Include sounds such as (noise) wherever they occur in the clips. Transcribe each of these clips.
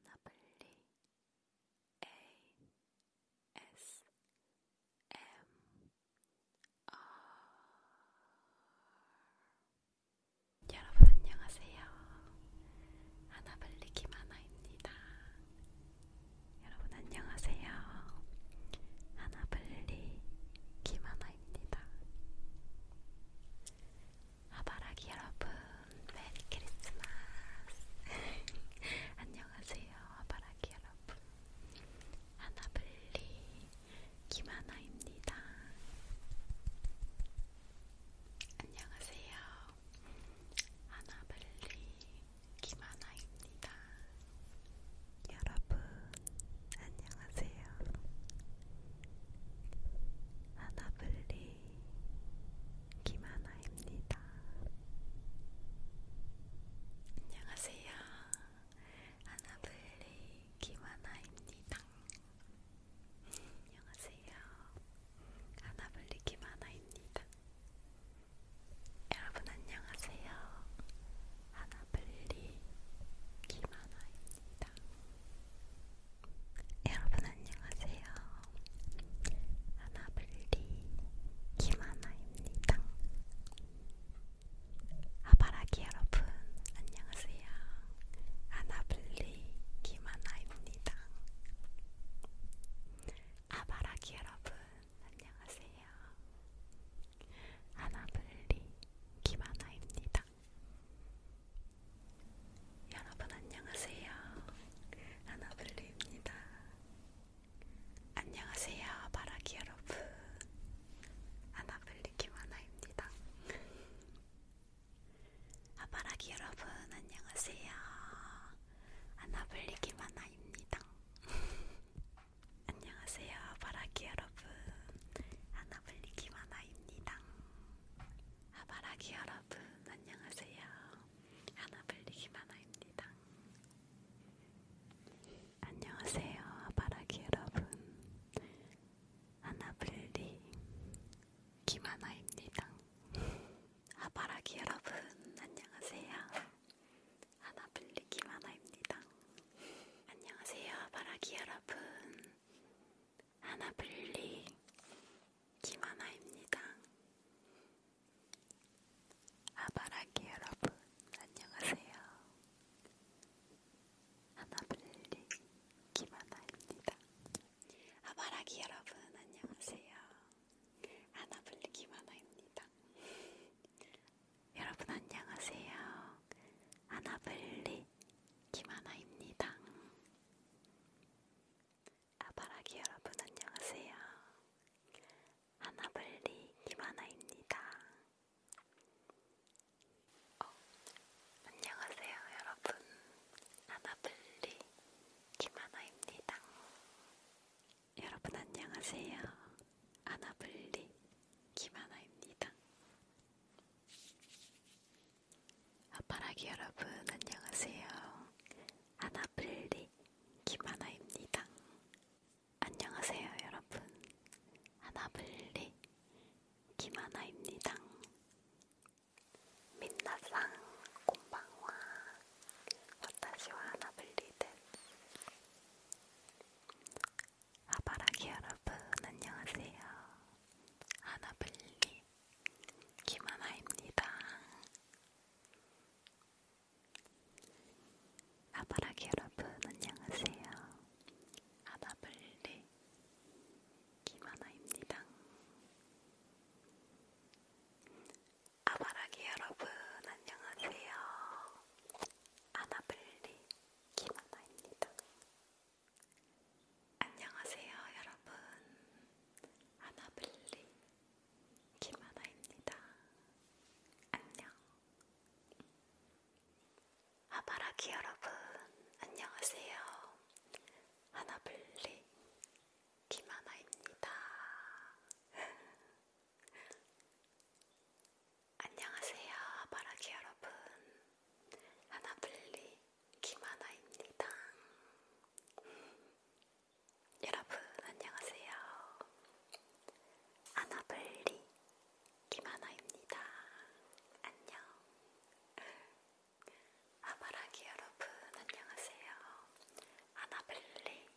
하나블리 ASMR 여러분 안녕하세요. 하나블리 김하나입니다. 여러분 안녕하세요. 하나블리 김하나입니다. 아바라기 여러분, 메리 크리스마스! (laughs) 안녕하세요, 아바라기 여러분. 하나블리 김하나입니다. 안녕하세요, 하나블리 김하나입니다. 여러분, 안녕하세요. 하나블리 김하나입니다. 안녕하세요. 하나블리 김하나입니다. 안녕하세요. 하나블리 김하나입니다. 여러분 안녕하세요. 하나블리 김하나입니다. 여러분 안녕하세요. 하나블리 김하나입니다. 아바라기 여러분 안녕하세요. 하나블리 김하나입니다. 아바라기 여러분 안녕하세요. 하나블리 김하나입니다. 여러분 안녕하세요. 아나블리입니다. 안녕하세요. 바라기 여러분. 아나블리 김하나입니다. 아바라기 여러분 안녕하세요. 아나블리 김하나입니다. (laughs) 안녕하세요. 바라기 여러분. 아나블리 김하나 하바입니다. 하바라기 여러분 안녕하세요. 하나블리기 만화입니다. 안녕하세요. 하바라기 여러분 하나블리 기만화입니다. 하바라기 여러분 안녕하세요. 하나블리 기만화입니다. 안녕하세요. 하바라기 여러분 하나블리 김하나입니다. 아바라기 여러분 안녕하세요. 하나블리 김하나입니다. 아바라기 여러분 안녕하세요. 하나블리 김하나입니다. 여러분 안녕하세요. 아나블리 김하나입니다. 아바라기 여러분 안녕하세요. 아나블리 김하나입니다. 어, 안녕하세요 여러분. 아나블리 김하나입니다. 여러분 안녕하세요. 아나블리 김하나입니다. 아빠라기 여러분 안녕하세요. 아나블리 김하나입니다. 안녕하세요 여러분. 아나블리 김하나입니다. 민나상 곰방와 와타시와 아나블리 데 아바라기 여러분 안녕하세요. 아나블리 김하나입니다. 아바라기 여러분 안녕하세요. 아나블리 김하나입니다. 아바라기 여러분 안녕하세요. 아나블리 김하나입니다. 안녕하세요, 여러분. 하나블리 김하나입니다. 안녕. 하바라기 여러분, 안녕하세요. 하나블리 김하나입니다. (laughs) 안녕하세요, 바라기 여러분. 하나블리 김하나입니다. 여러분, 안녕하세요. 하나블리 김하나입니다. 안녕. 아바라기 여러분, 안녕하세요. 하나블리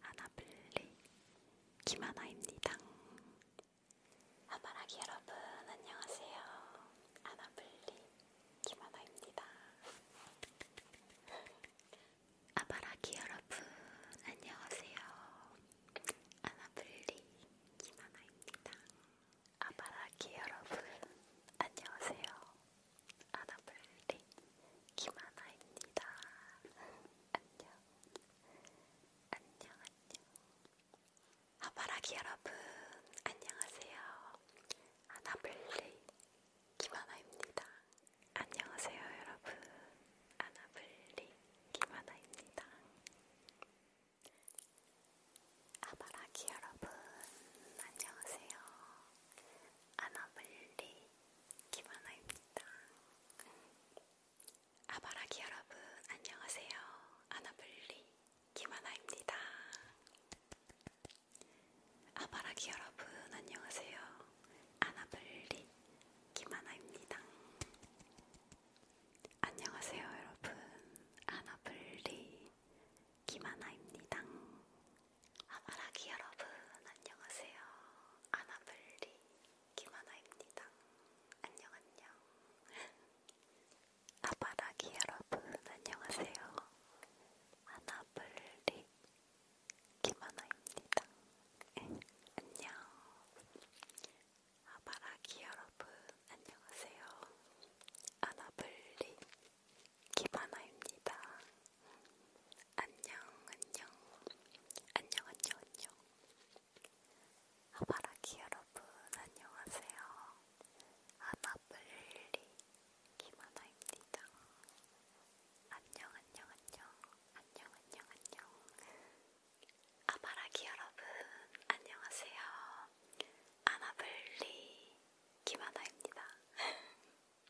아나블리 김하나입니다. 아바라기 여러분 안녕하세요. 아나블리 김하나입니다. 아바라기 여러분 안녕하세요. 아나블리 김하나입니다. 아바라기 여러분 안녕하세요. 아나블리 김하나입니다. 안녕. 안녕, 안녕. 하바라기 여러분, 안녕하세요. 아나블리 김하나입니다. 안녕하세요, 여러분. 아나블리 김하나입니다. 아바라기 여러분, 안녕하세요. 아나블리 김하나입니다. 아바라기 여러분 안녕하세요. 아나블리 김하나입니다. 아바라기 여러분 안녕하세요. 아나블리 김하나입니다. 안녕하세요 여러분 아나블리 김하나입니다. 아마라기 여러분 안녕하세요. 아나블리 김하나입니다. 안녕 (laughs) (laughs) 안녕. 아마라기 여러분 안녕하세요. 아나블리 김하나입니다. 안녕. 아바라기 여러분 안녕하세요. 아나블리 기바나입니다. 안녕, 안녕, 안녕, 안녕, 안녕. 하바라기 여러분, 안녕하세요. 아나블리 기바나입니다. 안녕, 안녕, 안녕, 안녕, 안녕, 안녕. 아바라기 여러분, 안녕하세요. 아나블리 기바나입니다. (laughs)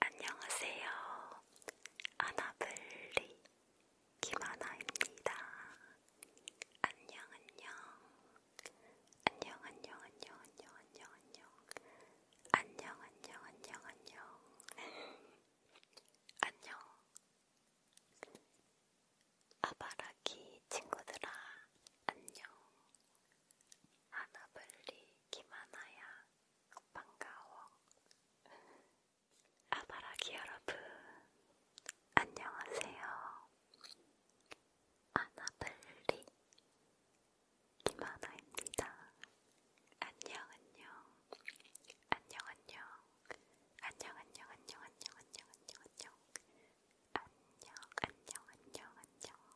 안녕하세요. 아나블리 김아나입니다. 안녕 안녕. 안녕 안녕 안녕 안녕 안녕 안녕. 안녕 안녕 안녕 안녕. (laughs) 안녕. 아바라기 친구들아 안녕. 하나블리 김하나야 반가워 아바라기 여러분 안녕하세요 하나블리 김하나입니다 안녕 안녕 안녕 안녕 안녕 안녕 안녕 안녕 안녕 안녕 안녕 안녕 안녕 안녕 안녕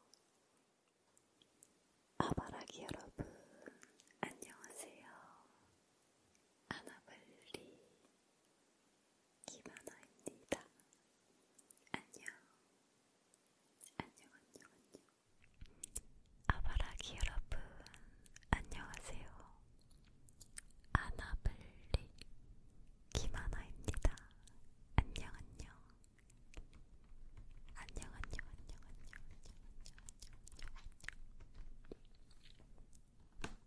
아바라기 여러분, 안녕하세요. 아나블리 김하나입니다. 안녕, 안녕, 안녕, 안녕. 아바라기 여러분, 안녕하세요. 아나블리 김하나입니다. 안녕, 안녕. 안녕, 안녕, 안녕, 안녕, 안녕, 안녕, 안녕, 안녕.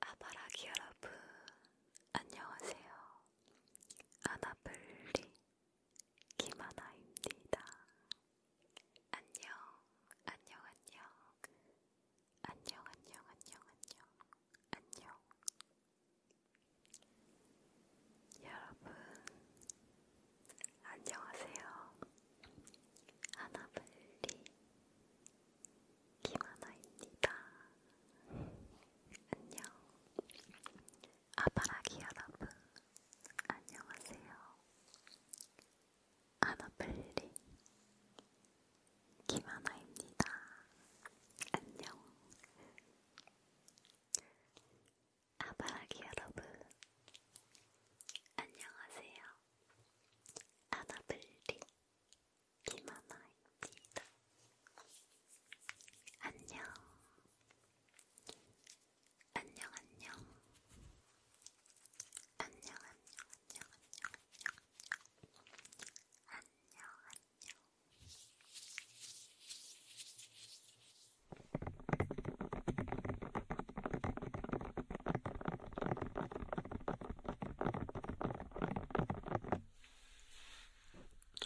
아바라기 여러분, 안녕하세요. 아나블리 김하나입니다. 안녕, 안녕, 안녕, 안녕, 안녕, 안녕, 안녕, 안녕. 여러분, 안녕하세요. 하나블리 김하나입니다. 안녕. 아바라기 여러분, 안녕하세요. 아나벨리 김하나입니다. 안녕. 아바라기 여러분, 안녕하세요. 아나벨리 김하나입니다. 안녕. 안녕, 안녕. 안녕, 안녕, 안녕, 안녕, 안녕. 안녕, 안녕.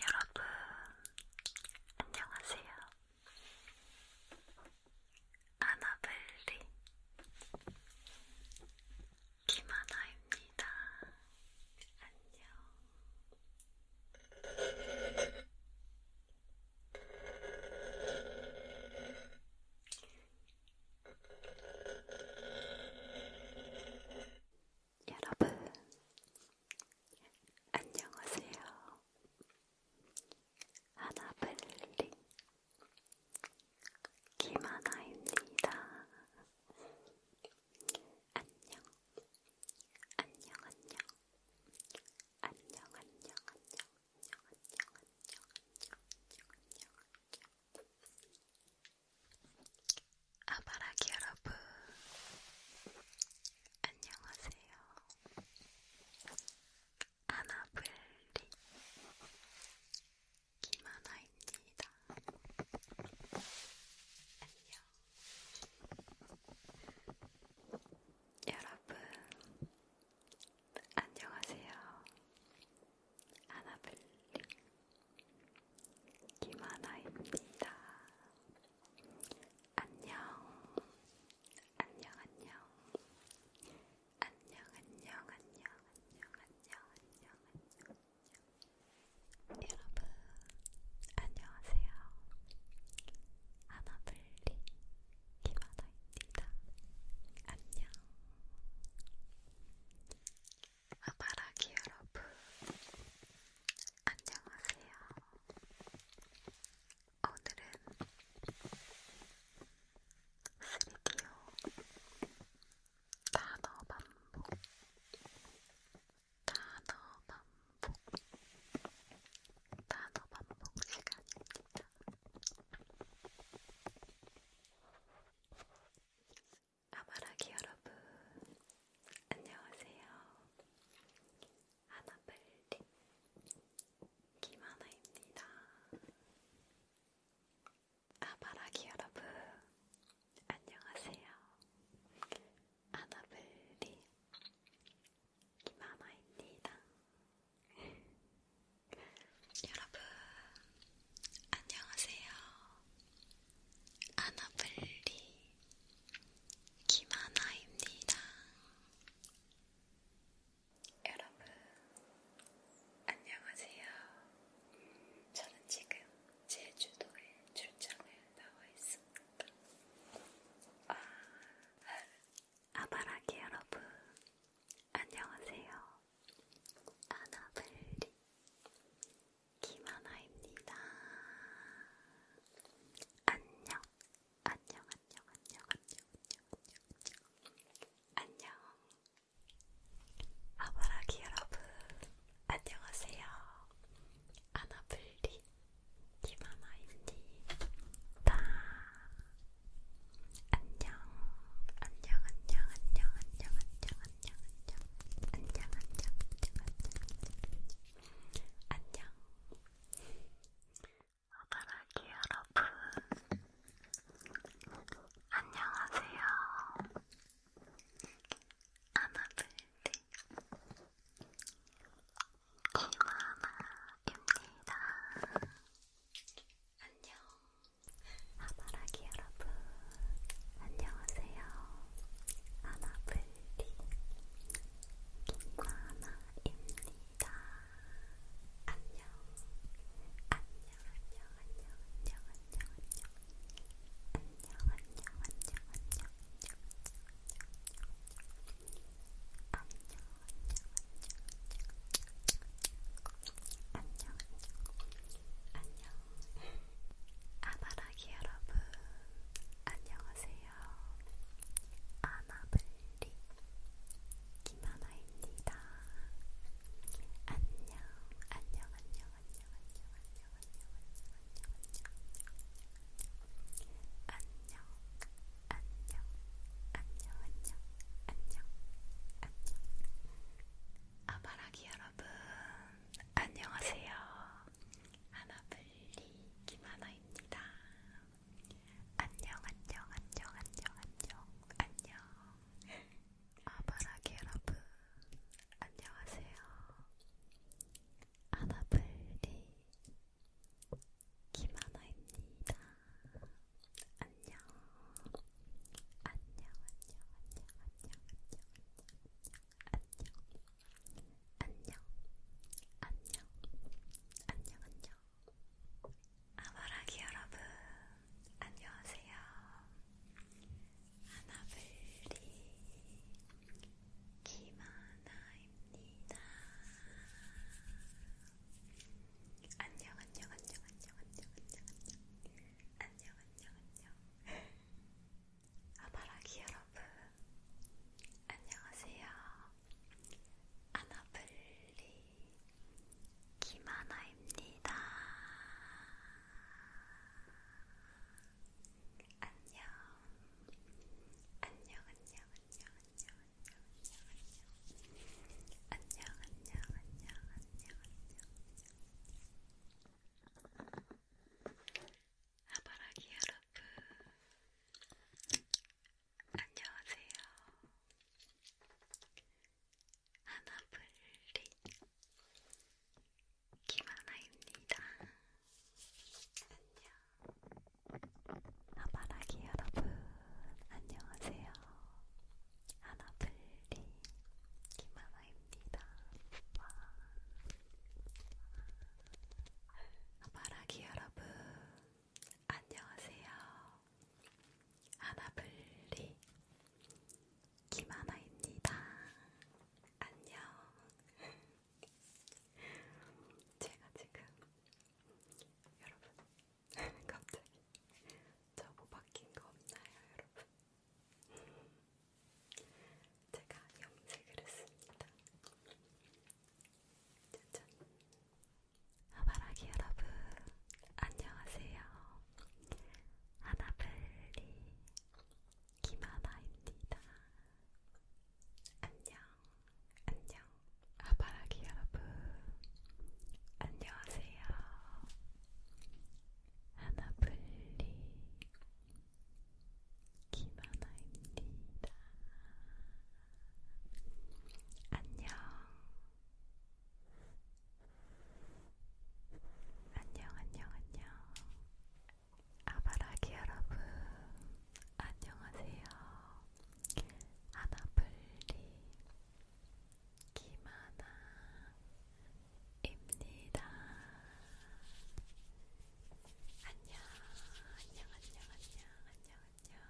여러분, 안녕하세요. 아나벨리 김하나입니다. 안녕. 여러분, 안녕하세요. 하나블리 김하나입니다. 안녕, 안녕, 안녕, 안녕, 안녕, 안녕, 안녕, 안녕, 안녕, 안녕, 안녕, 안녕. 아바라기 여러분, 안녕하세요. 아나블리 김하나입니다. 안녕. 여러분, 안녕하세요. 아나블리 김하나입니다. 안녕, 안녕, 안녕, 안녕, 안녕, 안녕, 안녕, 안녕, 안녕, 안녕. 여러분, 안녕하세요. 하나블리 김하나입니다. 안녕. 아바라기 여러분, 안녕하세요. 오늘은 3D요 단어 반복, 단어 반복, 단어 반복 시간입니다. 아마라기 여러분, 안녕하세요. 하나빨리 김하나입니다. 아마라기 여러분, 안녕하세요. 하나빨리 김하나입니다. (laughs) 여러분, 안녕하세요. 아나블리 김하나입니다. 여러분, 안녕하세요. 저는 지금 제주도에 출장을 나와 있습니다. 아, 아바라기 여러분, 안녕하세요. 아나블리 김하나입니다. 안녕, 안녕, 안녕, 안녕, 안녕, 안녕, 안녕. 아바라기 여러분, 안녕하세요. 아나블리 김하나입니다. 안녕, 안녕, 안녕, 안녕, 안녕, 안녕, 안녕, 안녕, 안녕, 안녕, 안녕, 안녕. 아가라기 여러분, 안녕하세요. 아나블디 김하나입니다. 안녕. 아바라기 여러분, 안녕하세요. 아나블리 김과나입니다. 안녕. 안녕, 안녕, 안녕, 안녕, 안녕, 안녕, 안녕, 안녕, 안녕, 안녕. 안녕 안녕 안녕 안녕 안녕 안녕. 아바라기 여러분, 안녕하세요. 아나블리 김하나입니다. 안녕, 안녕, 안녕, 안녕, 안녕, 안녕, 안녕, 안녕, 안녕, 안녕, 안녕, 안녕, 안녕, 안녕, 안녕. 아바라기 여러분 안녕하세요. 하나블리 김하나입니다. 안녕 안녕 안녕 안녕 안녕 안녕 아바라기 여러분 안녕하세요. 하나블리 김하나입니다. 안녕 안녕. 안녕, 안녕, 안녕, 안녕, 안녕, 안녕, 안녕, 안녕, 안녕, 안녕. 아바라기 여러분, 안녕하세요. 하나블리 김하나입니다. 안녕 안녕 안녕 안녕 안녕 안녕 안녕 안녕 안녕 안녕 아바라기 여러분 안녕하세요 아나블리 김하나입니다 안녕 안녕 안녕 안녕 안녕 안녕 안녕 안녕, 안녕, 안녕, 안녕, 안녕. 하바라기 여러분, 안녕하세요. 하나블리 김하나입니다. 안녕. 하바라기 여러분, 안녕하세요. 하나블리 김하나입니다. 와. 마라기 여러분, 안녕하세요. 하나블리 김하나입니다. 안녕. 제가 지금 여러분 (laughs) 갑자기 저뭐 바뀐 거 없나요, 여러분? (laughs) 제가 염색을 했습니다. 짠짠. 하바라기 여러분, 안녕하세요. 하나블리 김하나입니다. 안녕, 안녕. 아바라기 여러분, 안녕하세요. 하나블리 김하나입니다. 안녕. 안녕, 안녕, 안녕. 아바라기 여러분, 안녕하세요. 하나블리 김하나입니다. 안녕, 안녕, 안녕, 안녕, 안녕, 안녕.